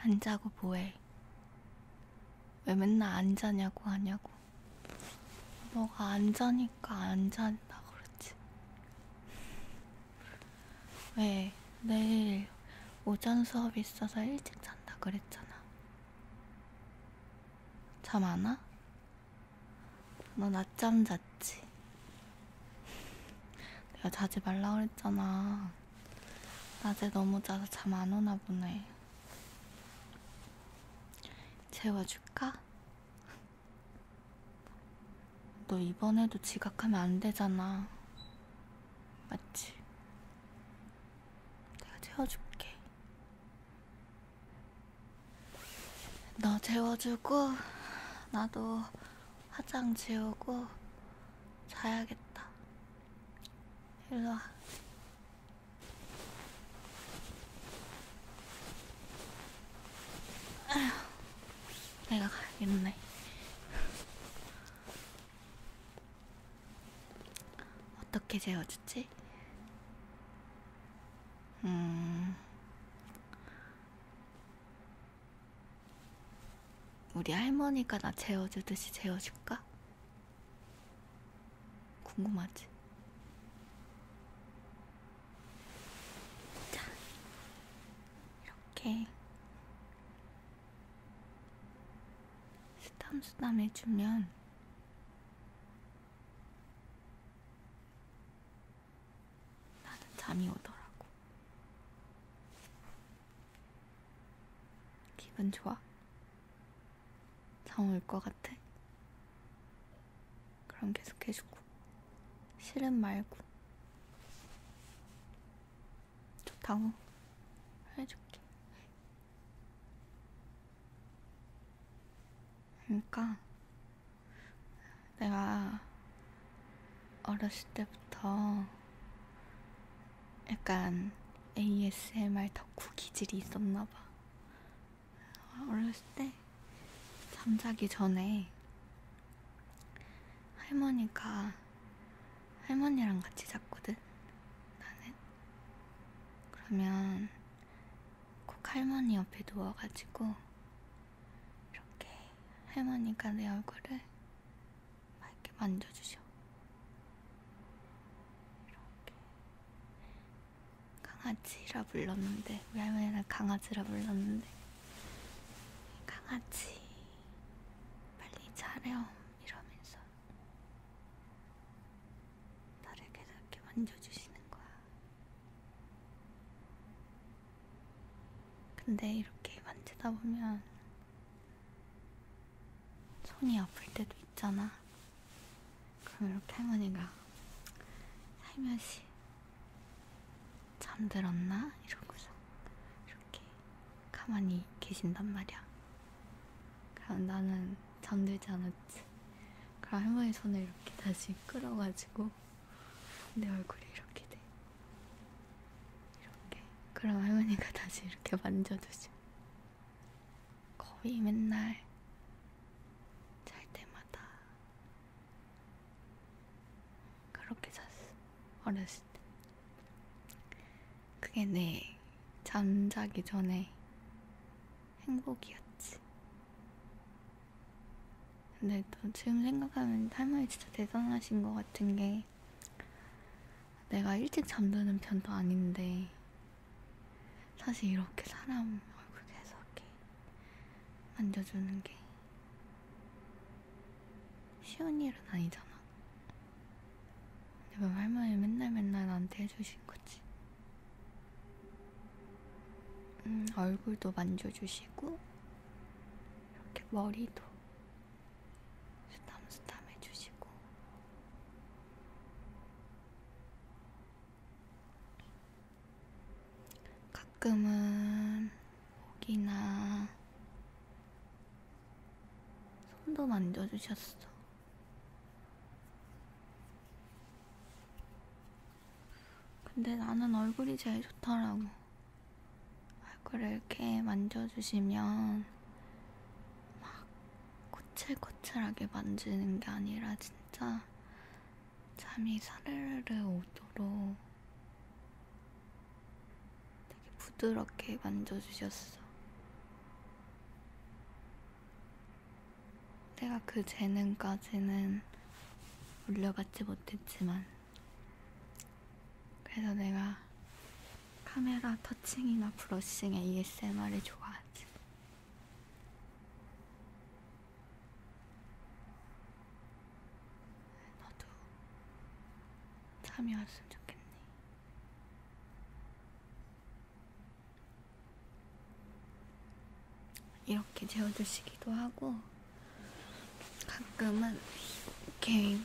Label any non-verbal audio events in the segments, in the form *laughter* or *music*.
안 자고 뭐해? 왜 맨날 안 자냐고 하냐고. 뭐가 안 자니까 안 잔다 그렇지. 왜 내일 오전 수업이 있어서 일찍 잔다 그랬잖아. 잠 안 와? 너 낮잠 잤지? 내가 자지 말라 그랬잖아. 낮에 너무 자서 잠 안 오나 보네. 재워줄까? 너 이번에도 지각하면 안 되잖아. 맞지? 내가 재워줄게. 너 재워주고, 나도 화장 지우고, 자야겠다. 일로 와. 아휴, 내가 가야겠네. 어떻게 재워주지? 음, 우리 할머니가 나 재워주듯이 재워줄까? 궁금하지? 자, 이렇게 수담수담 해주면 나는 잠이 오더라고. 기분 좋아. 잠올것 같아? 그럼 계속 해주고 싫은 말고 좋다고 해줄게 그러니까 내가 어렸을 때부터 약간 ASMR 덕후 기질이 있었나봐. 어렸을 때 잠자기 전에 할머니가 할머니랑 같이 잤거든. 나는 그러면 꼭 할머니 옆에 누워가지고 이렇게 할머니가 내 얼굴을 막 이렇게 만져주셔. 이렇게 강아지라 불렀는데 우리 할머니는 강아지라 불렀는데 강아지 빨리 자렴 이러면서 나를 계속 이렇게 만져주시는 거야. 근데 이렇게 만지다 보면 손이 아플 때도 있잖아. 그럼 이렇게 할머니가 살며시 잠들었나? 이러고서 이렇게 가만히 계신단 말이야. 그럼 나는 잠들지 않았지. 그럼 할머니 손을 이렇게 다시 끌어가지고 내 얼굴이 이렇게 돼. 이렇게. 그럼 할머니가 다시 이렇게 만져주셔. 거의 맨날 잘 때마다 그렇게 잤어. 어렸을 때. 그게 내 잠자기 전에 행복이었지. 근데 또 지금 생각하면 할머니 진짜 대단하신 것 같은 게게 내가 일찍 잠드는 편도 아닌데 사실 이렇게 사람 얼굴 계속 이렇게 만져주는 게 쉬운 일은 아니잖아. 내가 할머니 맨날 맨날 나한테 해주신 거지. 음, 얼굴도 만져주시고 이렇게 머리도 수담수담 해주시고 가끔은 목이나 손도 만져주셨어. 근데 나는 얼굴이 제일 좋더라고. 얼굴을 이렇게 만져주시면 막 꼬칠꼬칠하게 만지는 게 아니라 진짜 잠이 사르르 오도록 되게 부드럽게 만져주셨어. 내가 그 재능까지는 올려받지 못했지만, 그래서 내가 카메라 터칭이나 브러싱에 ASMR을 좋아하지. 너도 참여했으면 좋겠네. 이렇게 재워주시기도 하고, 가끔은 게임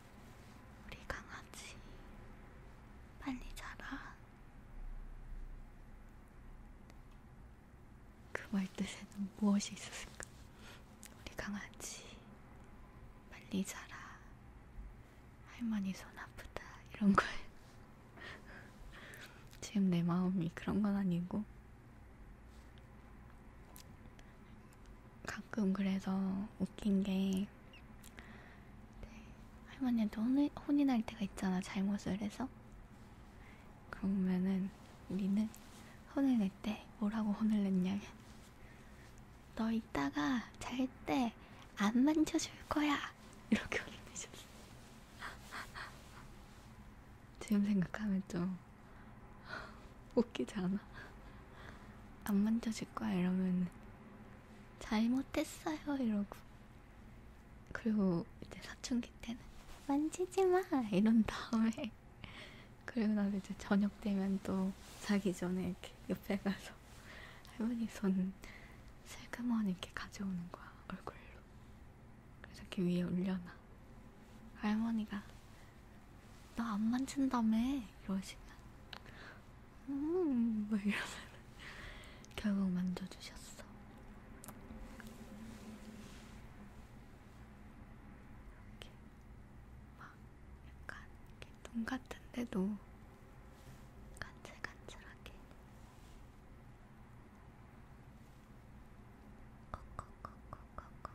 우리 강아지 빨리 자라. 그 말뜻에는 무엇이 있었을까? 우리 강아지 빨리 자라. 할머니 손 아프다 이런 걸 지금 내 마음이 그런 건 아니고 가끔 그래서 웃긴 게 네, 할머니한테 혼이, 혼이 날 때가 있잖아 잘못을 해서 그러면은 우리는 혼을 낼 때 뭐라고 혼을 냈냐면 너 이따가 잘 때 안 만져줄 거야 이렇게 혼을 내셨어 *laughs* 지금 생각하면 좀 *laughs* 웃기지 않아? 안 만져줄 거야 이러면 잘못했어요 이러고 그리고 이제 사춘기 때는 만지지 마 이런 다음에 *laughs* 그리고 나서 이제 저녁 되면 또 자기 전에 이렇게 옆에 가서 할머니 손 슬그머니 이렇게 가져오는 거야 얼굴로 그래서 이렇게 위에 올려놔 할머니가 나안 만진다며 이러시면 음 뭐 이러면 결국 만져주셨어. 이렇게 막 약간 이렇게 눈 같은데도 간질간질하게. 콕콕콕콕콕콕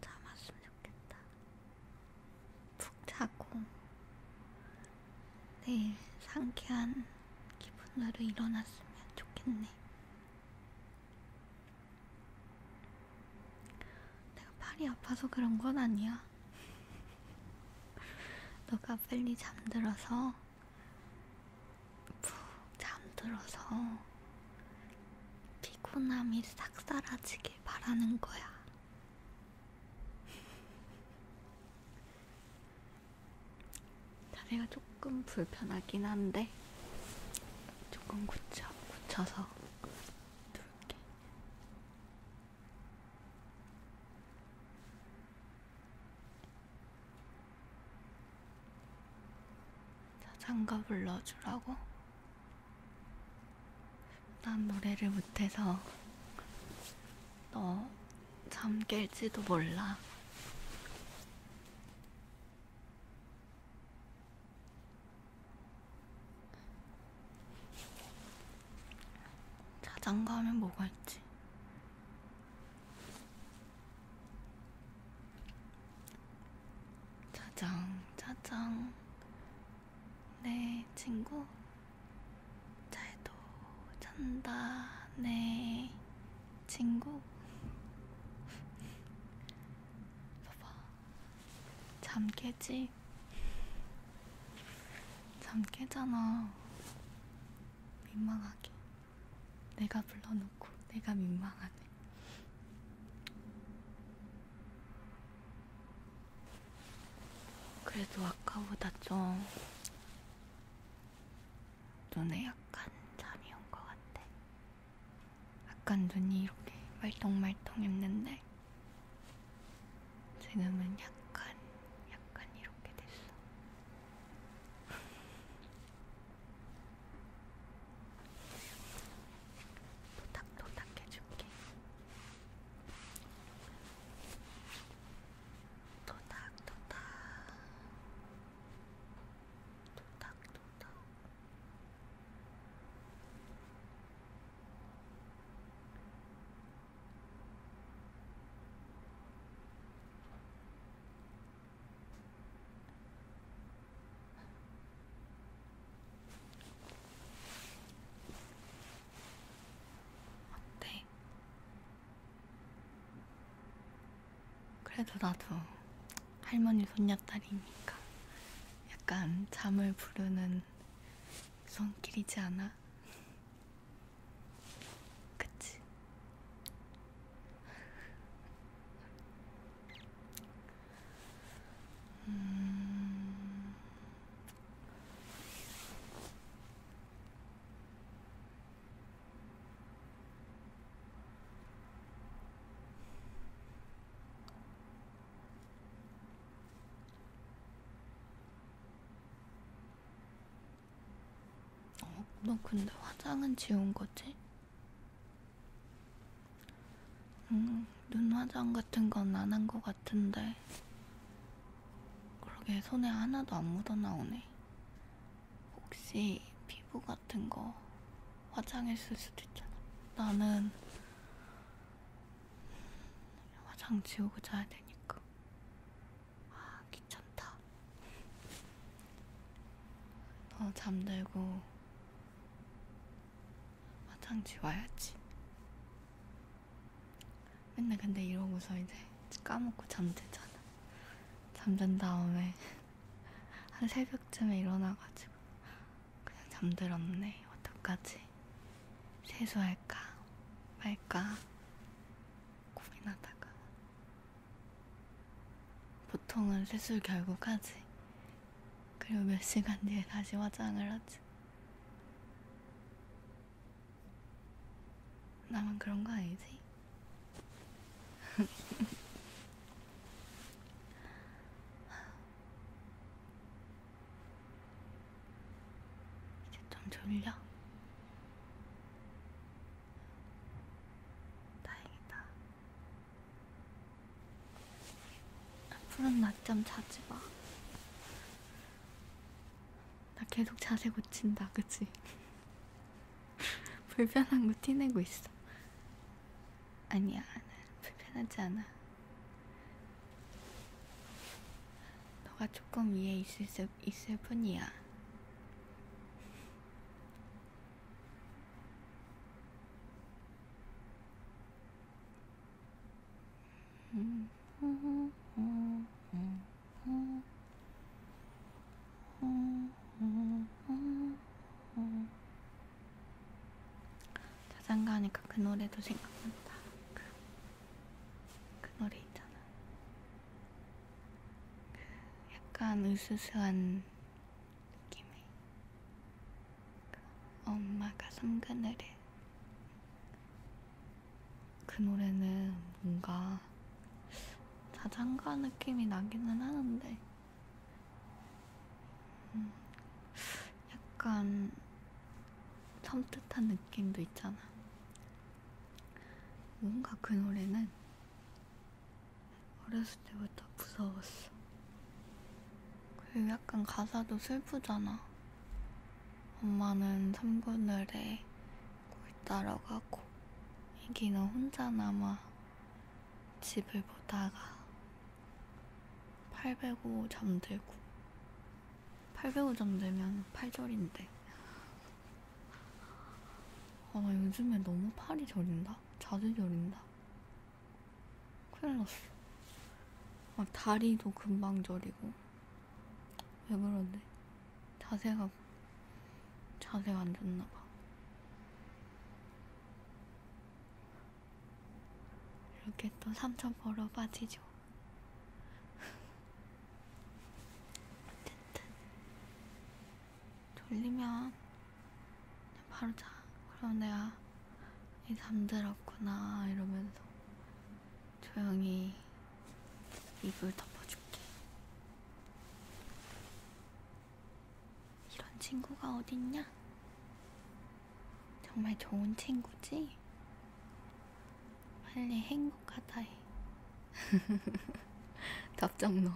참았으면 좋겠다. 푹 자고 내일 상쾌한 기분으로 일어났으면 좋겠네. 내가 팔이 아파서 그런 건 아니야. *laughs* 너가 빨리 잠들어서 푹 잠들어서 피곤함이 싹 사라지길 바라는 거야. 다리가 조금 불편하긴 한데 조금 굳혀, 굳혀서 누울게. 자장가 불러주라고? 난 노래를 못해서 너 잠 깰지도 몰라. 자장가 하면 뭐가 있지? 짜장, 짜장. 네, 친구. 잘도 잔다. 네, 친구. *laughs* 봐봐. 잠 깨지? 잠 깨잖아. 민망하게. 내가 불러놓고 내가 민망하네. 그래도 아까보다 좀 눈에 약간 잠이 온 것 같아. 약간 눈이 이렇게 말똥말똥 했는데 지금은 약간 약간 이렇게 됐어. 도닥도닥 해줄게. 도닥도닥. 도닥도닥. 도닥도닥 어때? 그래도 나도 할머니 손녀딸이니까 약간 잠을 부르는 손길이지 않아? 그치? 음... 어, 너 근데 화장은 지운 거지? 음, 눈 화장 같은 건 안 한 거 같은데. 그러게 손에 하나도 안 묻어나오네. 혹시 피부 같은 거 화장했을 수도 있잖아. 나는 화장 지우고 자야 되니까. 아, 귀찮다. 너 잠들고 화장지 와야지. 맨날 근데 이러고서 이제 까먹고 잠들잖아. 잠든 다음에 *laughs* 한 새벽쯤에 일어나가지고 그냥 잠들었네. 어떡하지? 세수할까 말까 고민하다가 보통은 세수를 결국 하지. 그리고 몇 시간 뒤에 다시 화장을 하지. 나만 그런 거 아니지? *laughs* 이제 좀 졸려? 다행이다. 앞으로는 낮잠 자지 마. 나 계속 자세 고친다, 그치? *laughs* 불편한 거 티내고 있어. 아니야, 불편하지 않아. 너가 조금 이해 있을 수 모습 있을 뿐이야. 자장가 하니까 그 노래도 생각난다. 그그 노래 있잖아. 그 약간 으스스한 느낌의 그 엄마가 삼그늘에 그 노래는 뭔가 자장가 느낌이 나기는 하는데 음, 약간 섬뜩한 느낌도 있잖아. 뭔가 그 노래는 어렸을 때부터 무서웠어. 그리고 약간 가사도 슬프잖아. 엄마는 삼고늘에 꿀따러 가고, 애기는 혼자 남아 집을 보다가 805 잠들고. 800원 정도면 8절인데. 아, 요즘에 너무 팔이 저린다? 자주 저린다? 큰일 났어. 막 다리도 금방 저리고. 왜 그러지? 자세가, 자세가 안 좋나봐. 이렇게 또 삼천 벌어 빠지죠. 어쨌든 졸리면 그냥 바로 자. 그럼 내가 이 잠들었구나 이러면서 조용히 이불 덮어줄게. 이런 친구가 어딨냐? 정말 좋은 친구지? 빨리 행복하다 해. *laughs* 답장 넣어.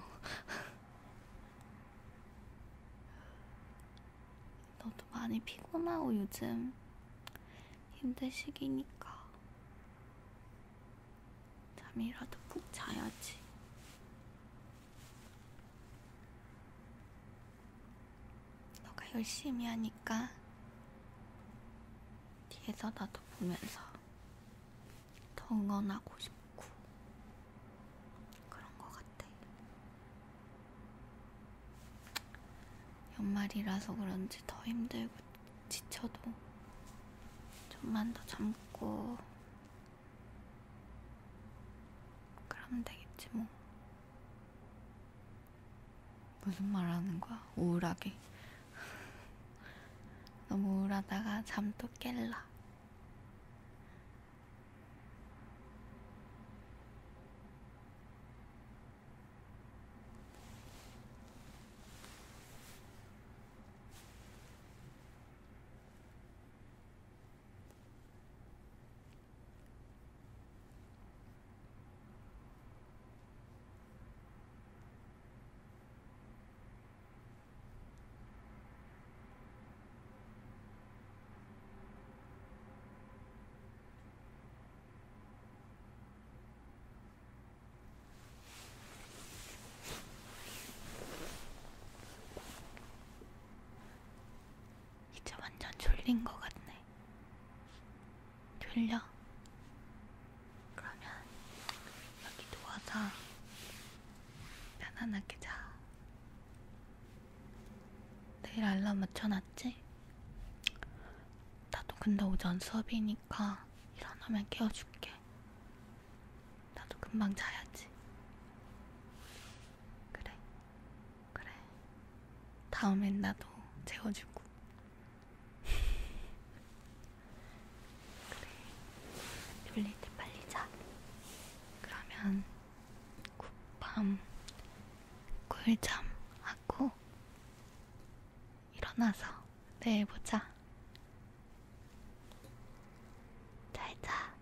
너도 많이 피곤하고 요즘 힘든 시기니까 잠이라도 푹 자야지. 너가 열심히 하니까 뒤에서 나도 보면서 더 응원하고 싶고 그런 것 같아. 연말이라서 그런지 더 힘들고 지쳐도 좀만 더 참고 그러면 되겠지 뭐. 무슨 말 하는 거야? 우울하게. *laughs* 너무 우울하다가 잠도 깰라. 이제 완전 졸린 것 같네. 돌려. 그러면 여기 누워서 편안하게 자. 내일 알람 맞춰놨지? 나도 근데 오전 수업이니까 일어나면 깨워줄게. 나도 금방 자야지. 그래. 그래. 다음엔 나도 재워주고. 그래. 졸릴 때 빨리 자. 그러면 굿밤, 꿀잠 하고 일어나서 내일 보자. 잘 자.